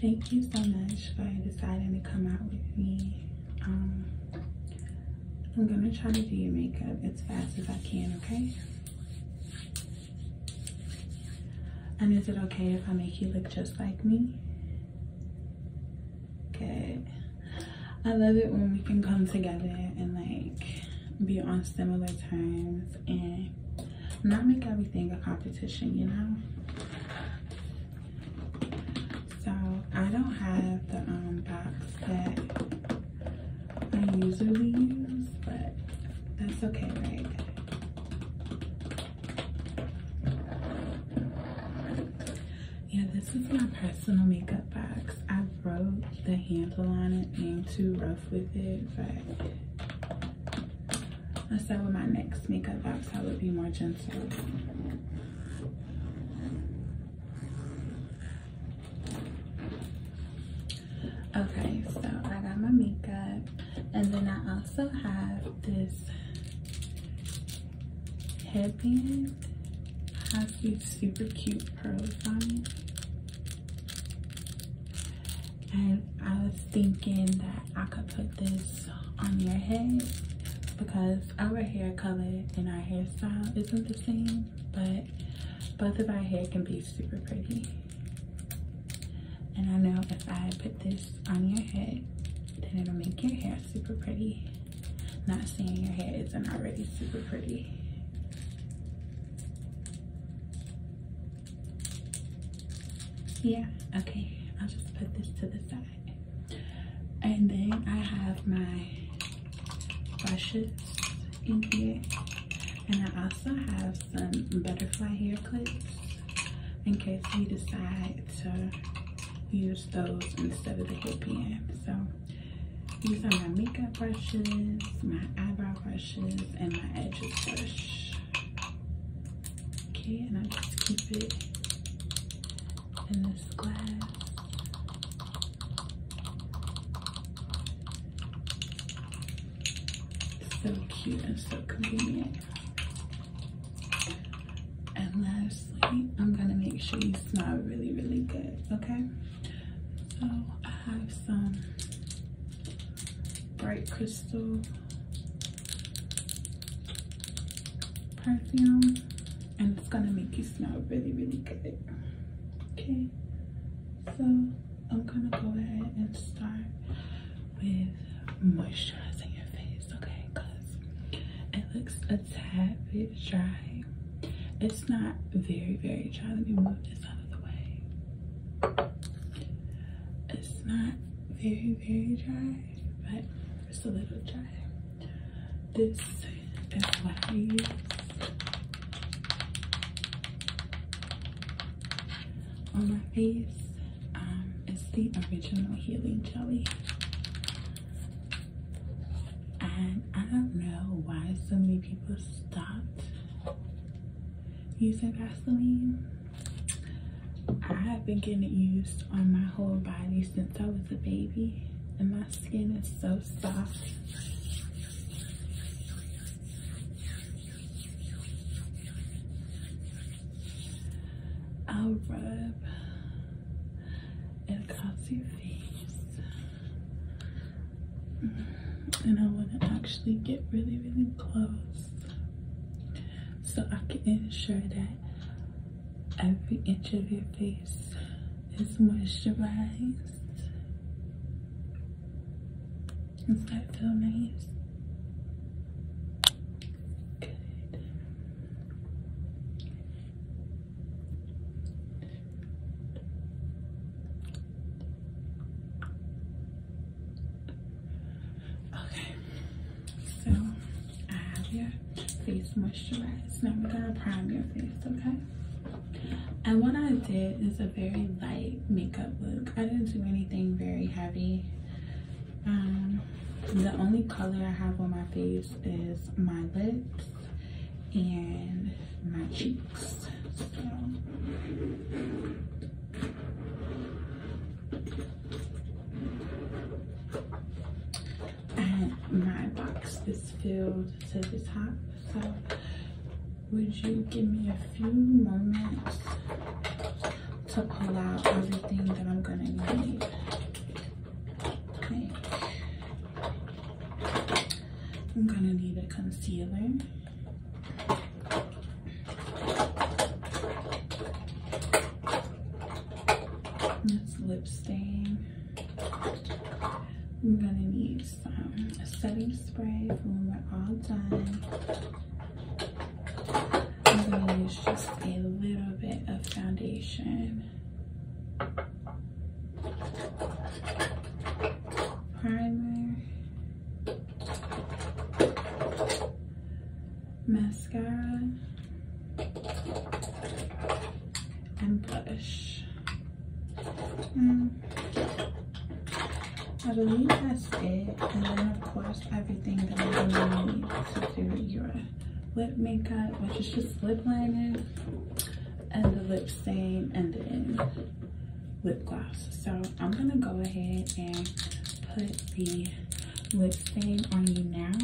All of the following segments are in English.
Thank you so much for deciding to come out with me. Um, I'm gonna try to do your makeup as fast as I can, okay? And is it okay if I make you look just like me? Okay. I love it when we can come together and like be on similar terms and not make everything a competition, you know? So I don't have the um, box that I usually use, but that's okay, right? Yeah, this is my personal makeup box. I wrote the handle on it, being too rough with it, but I said with my next makeup box, I would be more gentle. Okay, so I got my makeup. And then I also have this headband. It has these super cute pearls on and I was thinking that I could put this on your head because our hair color and our hairstyle isn't the same, but both of our hair can be super pretty. And I know if I put this on your head, then it'll make your hair super pretty. Not saying your hair isn't already super pretty. Yeah, okay. I'll just put this to the side. And then I have my brushes in here. And I also have some butterfly hair clips in case we decide to use those instead of the hairpin. So these are my makeup brushes, my eyebrow brushes, and my edges brush. Okay, and I just keep it in this glass. So cute and so convenient. And lastly, I'm gonna make sure you smell really, really good, okay? So I have some bright crystal perfume and it's gonna make you smell really really good okay so i'm gonna go ahead and start with moisturizing your face okay it looks a tad bit dry it's not very very dry let me move this out of the way it's not very, very dry, but just a little dry. This is what I use. On my face, um, it's the original healing jelly. And I don't know why so many people stopped using Vaseline I have been getting used on my whole body since I was a baby and my skin is so soft. I'll rub and across your face. And I want to actually get really, really close so I can ensure that every inch of your face is moisturized. Does that feel nice? Good. Okay, so I have your face moisturized. Now we're gonna prime your face, okay? And what I did is a very light makeup look. I didn't do anything very heavy. Um, the only color I have on my face is my lips and my cheeks. So my box is filled to the top. So would you give me a few moments to pull out everything that I'm gonna need? I'm gonna need a concealer. That's lip stain. I'm gonna need some setting spray for when we're all done. I'm gonna use just a little bit of foundation. Primer mascara, and blush. Mm. I believe that's it. And then of course everything that I need to do your lip makeup, which is just lip liner and the lip stain and then lip gloss. So I'm gonna go ahead and put the lip stain on you now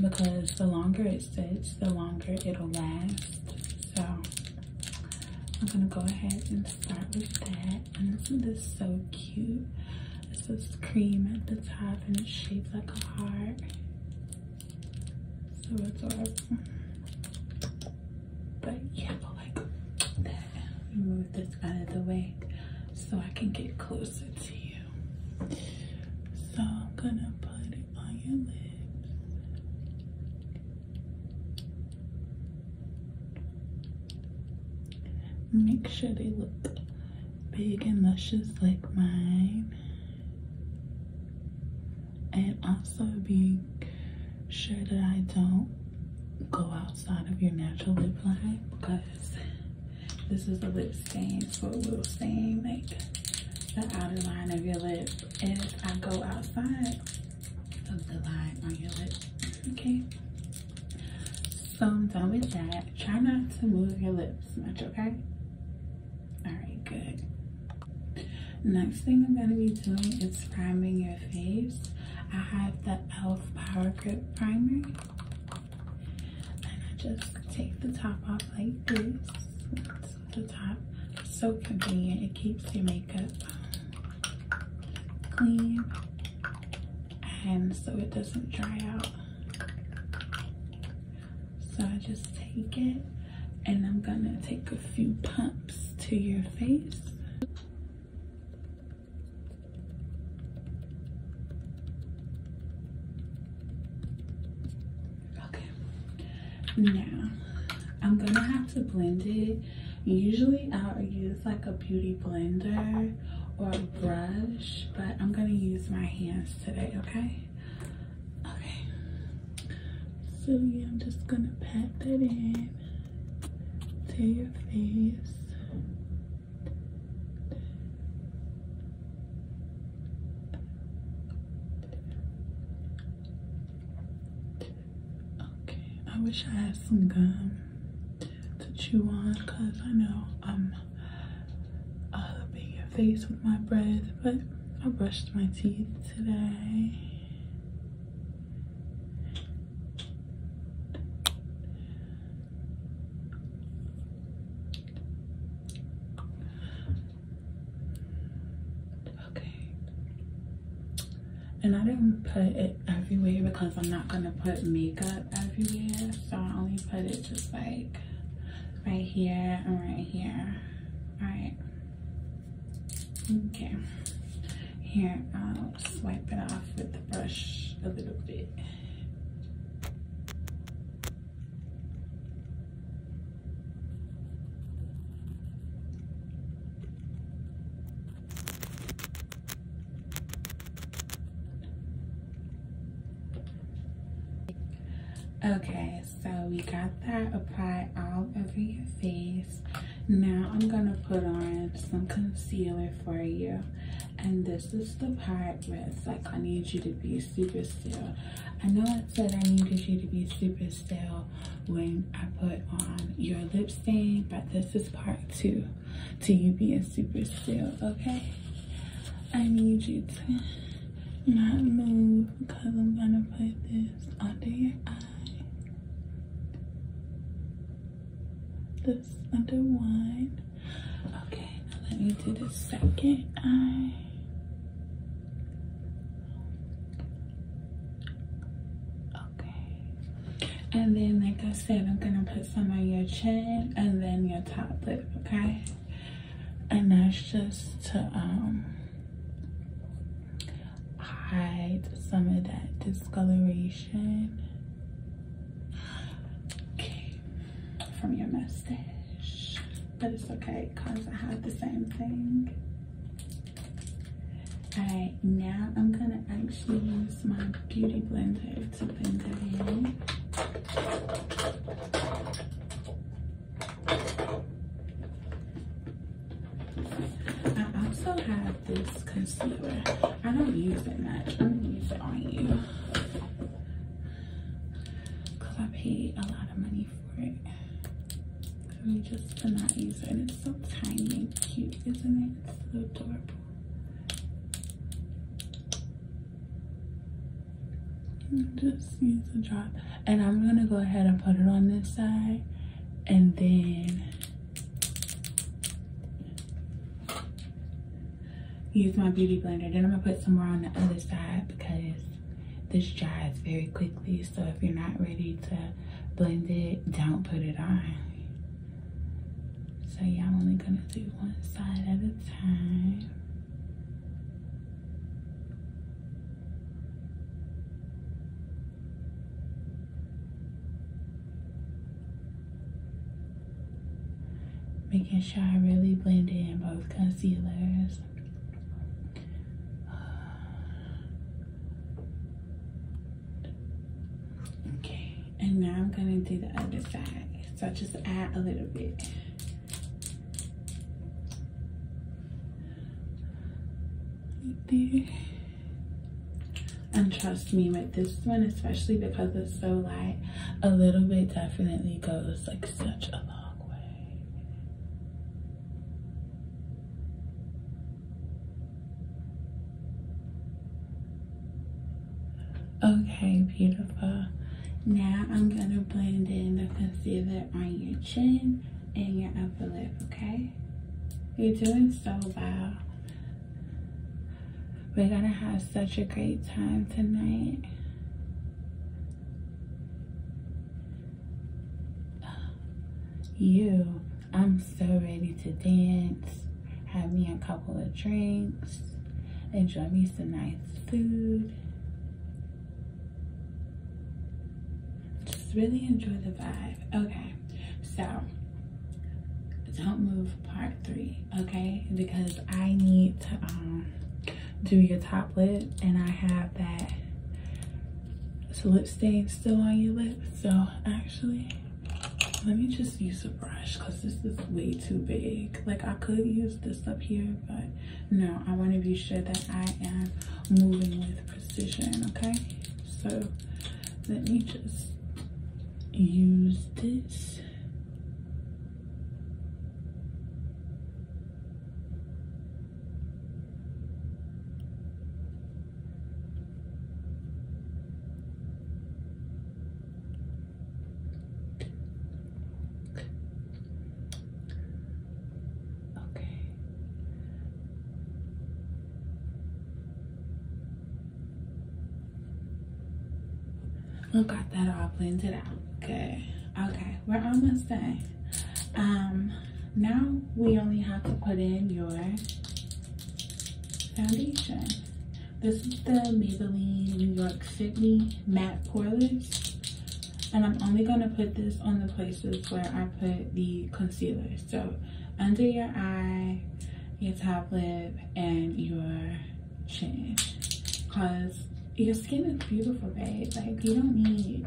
because the longer it sits, the longer it'll last. So I'm gonna go ahead and start with that. And isn't this so cute? It's this cream at the top and it's shaped like a heart. So adorable. But yeah, but like that, move this out of the way so I can get closer to you. So I'm gonna put it on your lips. Make sure they look big and luscious like mine. And also big sure that I don't go outside of your natural lip line because this is a lip stain, so it will stain like the outer line of your lips. If I go outside of the line on your lip, okay? So I'm done with that. Try not to move your lips much, okay? All right, good. Next thing I'm gonna be doing is priming your face. I have the e.l.f. Power Grip Primer. And I just take the top off like this. the top. so convenient. It keeps your makeup clean. And so it doesn't dry out. So I just take it and I'm gonna take a few pumps to your face. Okay, now I'm gonna have to blend it. Usually i use like a beauty blender or a brush, but I'm gonna use my hands today, okay? Okay. So yeah, I'm just gonna pat that in to your face. Okay, I wish I had some gum to chew on because I know I'm all uh, up your face with my breath, but I brushed my teeth today. Okay. And I didn't put it everywhere because I'm not gonna put makeup everywhere. So I only put it just like right here and right here. Alright. Okay. Here, I'll swipe it off with the brush a little bit. Okay, so we got that applied all over your face. Now I'm gonna put on some concealer for you. And this is the part where it's like, I need you to be super still. I know I said I needed you to be super still when I put on your lip stain, but this is part two to you being super still, okay? I need you to not move because I'm gonna put this under your eye this under one. Okay, now let me do the second eye. Okay. And then, like I said, I'm gonna put some on your chin and then your top lip, okay? And that's just to, um, hide some of that discoloration okay. from your mustache. But it's okay because I have the same thing. Alright, now I'm gonna actually use my beauty blender to blend it in. I also have this concealer. I don't use it much. I'm gonna use it on you. Cause I paid a lot of money for it. I just to not use it. And it's so tiny and cute, isn't it? It's so adorable. just use a drop and i'm gonna go ahead and put it on this side and then Use my beauty blender. Then I'm gonna put some more on the other side because this dries very quickly. So if you're not ready to blend it, don't put it on. So yeah, I'm only gonna do one side at a time. Making sure I really blend in both concealers. Okay, and now I'm gonna do the other side. So I just add a little bit. Right and trust me with this one, especially because it's so light, a little bit definitely goes like such a long way. Okay, beautiful. Now I'm gonna blend in the concealer on your chin and your upper lip, okay? You're doing so well. We're gonna have such a great time tonight. You, I'm so ready to dance. Have me a couple of drinks. Enjoy me some nice food. Just really enjoy the vibe. Okay. So don't move part three, okay? Because I need to um, do your top lip and I have that lip stain still on your lip. So actually, let me just use a brush because this is way too big. Like I could use this up here, but no, I want to be sure that I am moving with precision, okay? So let me just use this. Okay. We got that all blended out. Okay. Okay, Where we're almost done. Um, now we only have to put in your foundation. This is the Maybelline New York Fit Matte Poreless. And I'm only going to put this on the places where I put the concealer. So under your eye, your top lip, and your chin. Cause your skin is beautiful, babe. Like you don't need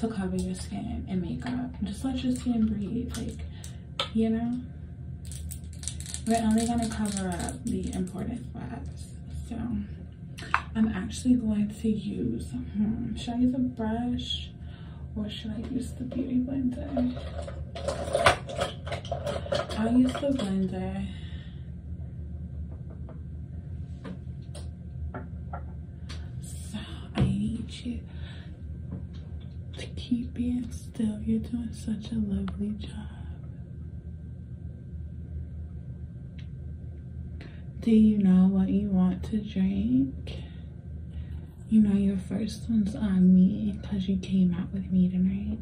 to cover your skin and makeup. Just let your skin breathe, like, you know? We're only gonna cover up the important spots. So I'm actually going to use, hmm, should I brush? or should I use the beauty blender? I'll use the blender. So I to keep being still. You're doing such a lovely job. Do you know what you want to drink? You know your first one's on me because you came out with me tonight.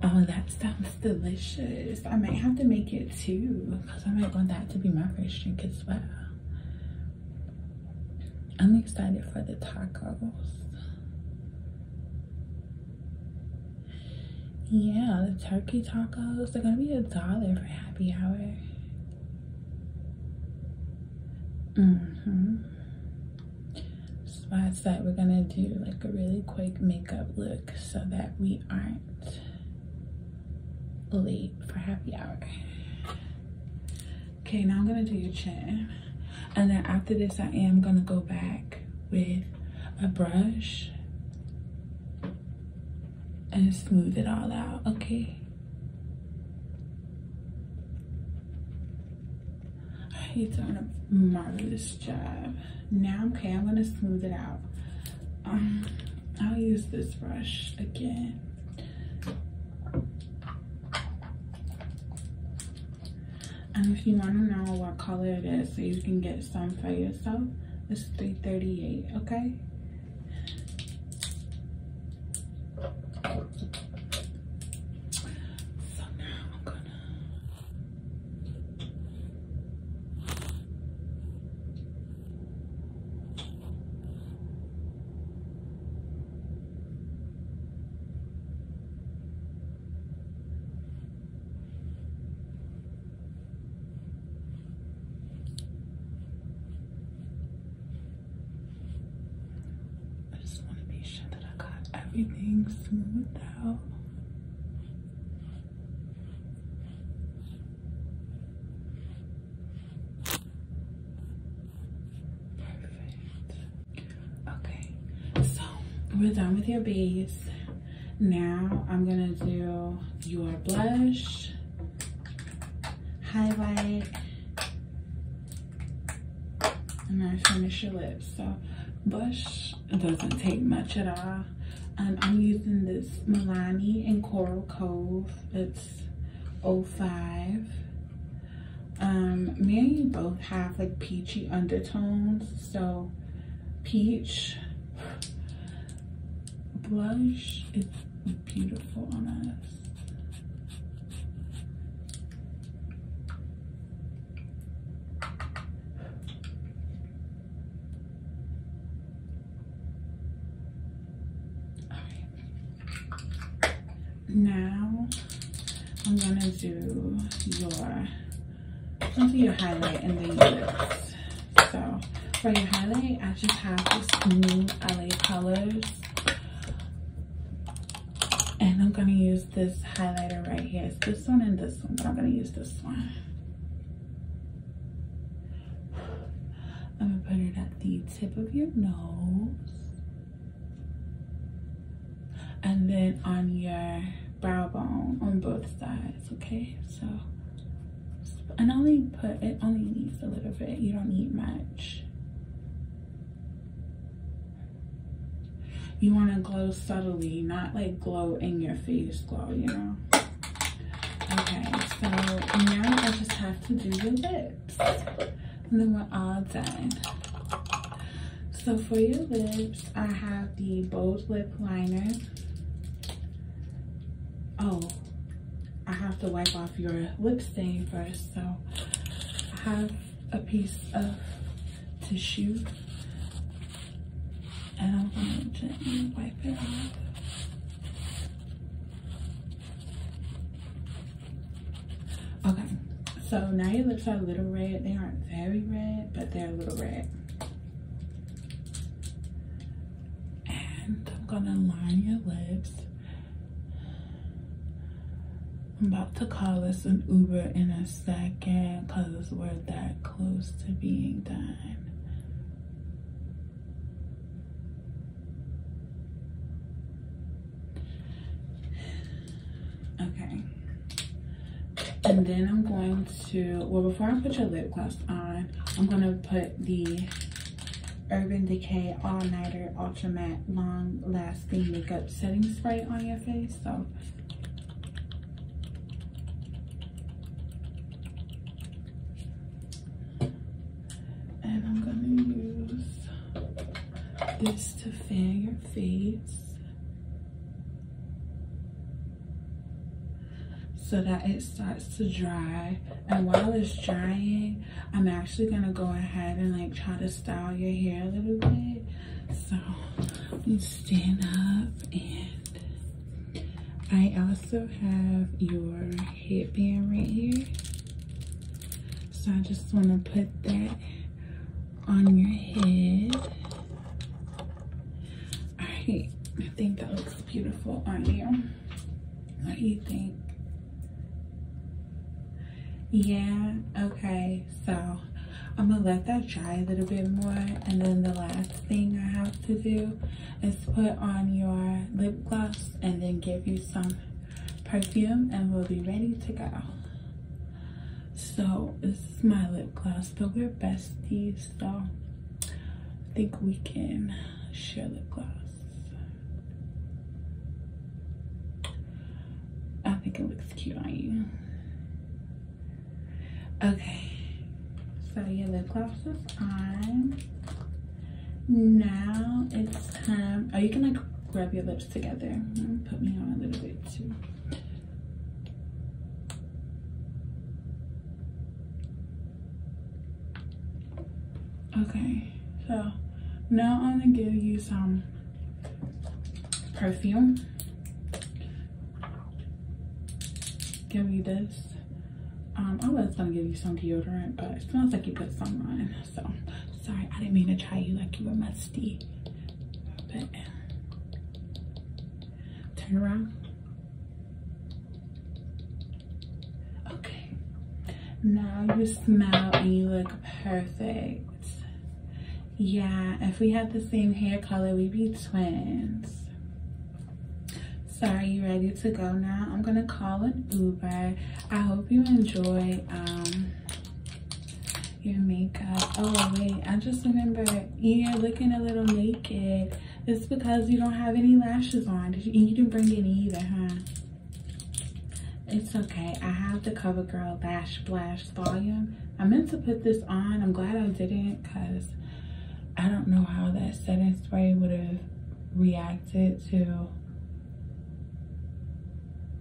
Oh, that sounds delicious. I might have to make it too because I might want that to be my first drink as well. I'm excited for the tacos. Yeah, the turkey tacos, they're gonna be a dollar for happy hour. Mm-hmm. So I we're gonna do like a really quick makeup look so that we aren't late for happy hour. Okay, now I'm gonna do your chin. And then after this, I am gonna go back with a brush and smooth it all out, okay? He's doing a marvelous job. Now, okay, I'm gonna smooth it out. Um, I'll use this brush again. And if you want to know what color it is so you can get some for yourself, it's 338 okay? So now I'm gonna I just want to be sure that I got everything smoothed out. Perfect. Okay, so we're done with your base. Now I'm gonna do your blush, highlight, and then finish your lips. So blush doesn't take much at all. Um, I'm using this Milani in Coral Cove. It's 05. Um, me and you both have like peachy undertones. So peach blush is beautiful on us now I'm gonna do your do your highlight and then this. So for your highlight, I just have this new LA colors. And I'm gonna use this highlighter right here. It's this one and this one, but I'm gonna use this one. I'm gonna put it at the tip of your nose and then on your brow bone on both sides okay so and only put it only needs a little bit you don't need much you want to glow subtly not like glow in your face glow you know okay so now i just have to do the lips and then we're all done. So for your lips, I have the Bold Lip Liner. Oh, I have to wipe off your lip stain first. So I have a piece of tissue and I'm going to gently wipe it off. Okay, so now your lips are a little red. They aren't very red, but they're a little red. And I'm gonna line your lips. I'm about to call us an Uber in a second because we're that close to being done. Okay. And then I'm going to, well, before I put your lip gloss on, I'm gonna put the Urban Decay All Nighter Ultra Matte Long Lasting Makeup Setting Spray on your face. So and I'm gonna use this to fan your face so that it starts to dry and while it's drying i'm actually gonna go ahead and like try to style your hair a little bit so you stand up and i also have your headband right here so i just want to put that on your head. All right, I think that looks beautiful on you. What do you think? Yeah, okay, so I'm gonna let that dry a little bit more. And then the last thing I have to do is put on your lip gloss and then give you some perfume and we'll be ready to go. So this is my lip gloss, but we're besties, so I think we can share lip gloss. I think it looks cute on you. Okay, so your lip gloss is on. Now it's time, are you gonna Rub your lips together put me on a little bit too. Okay, so now I'm gonna give you some perfume. Give me this. Um, I was gonna give you some deodorant, but it smells like you put some on. So sorry, I didn't mean to try you like you were musty. But uh, turn around. Okay. Now you smile and you look perfect. Yeah, if we had the same hair color, we'd be twins. So are you ready to go now? I'm gonna call an Uber. I hope you enjoy um, your makeup. Oh, wait. I just remember you're looking a little naked. It's because you don't have any lashes on. Did you, didn't bring any either, huh? It's okay. I have the CoverGirl Lash Splash Volume. I meant to put this on. I'm glad I didn't because I don't know how that setting spray would have reacted to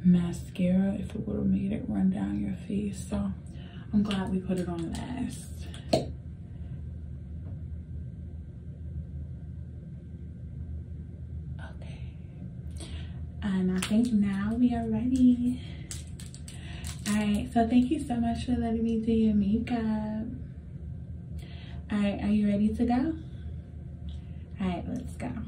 mascara if it would have made it run down your face. So I'm glad we put it on last. Okay. And I think now we are ready. Alright, so thank you so much for letting me do your makeup. Alright, are you ready to go? Alright, let's go.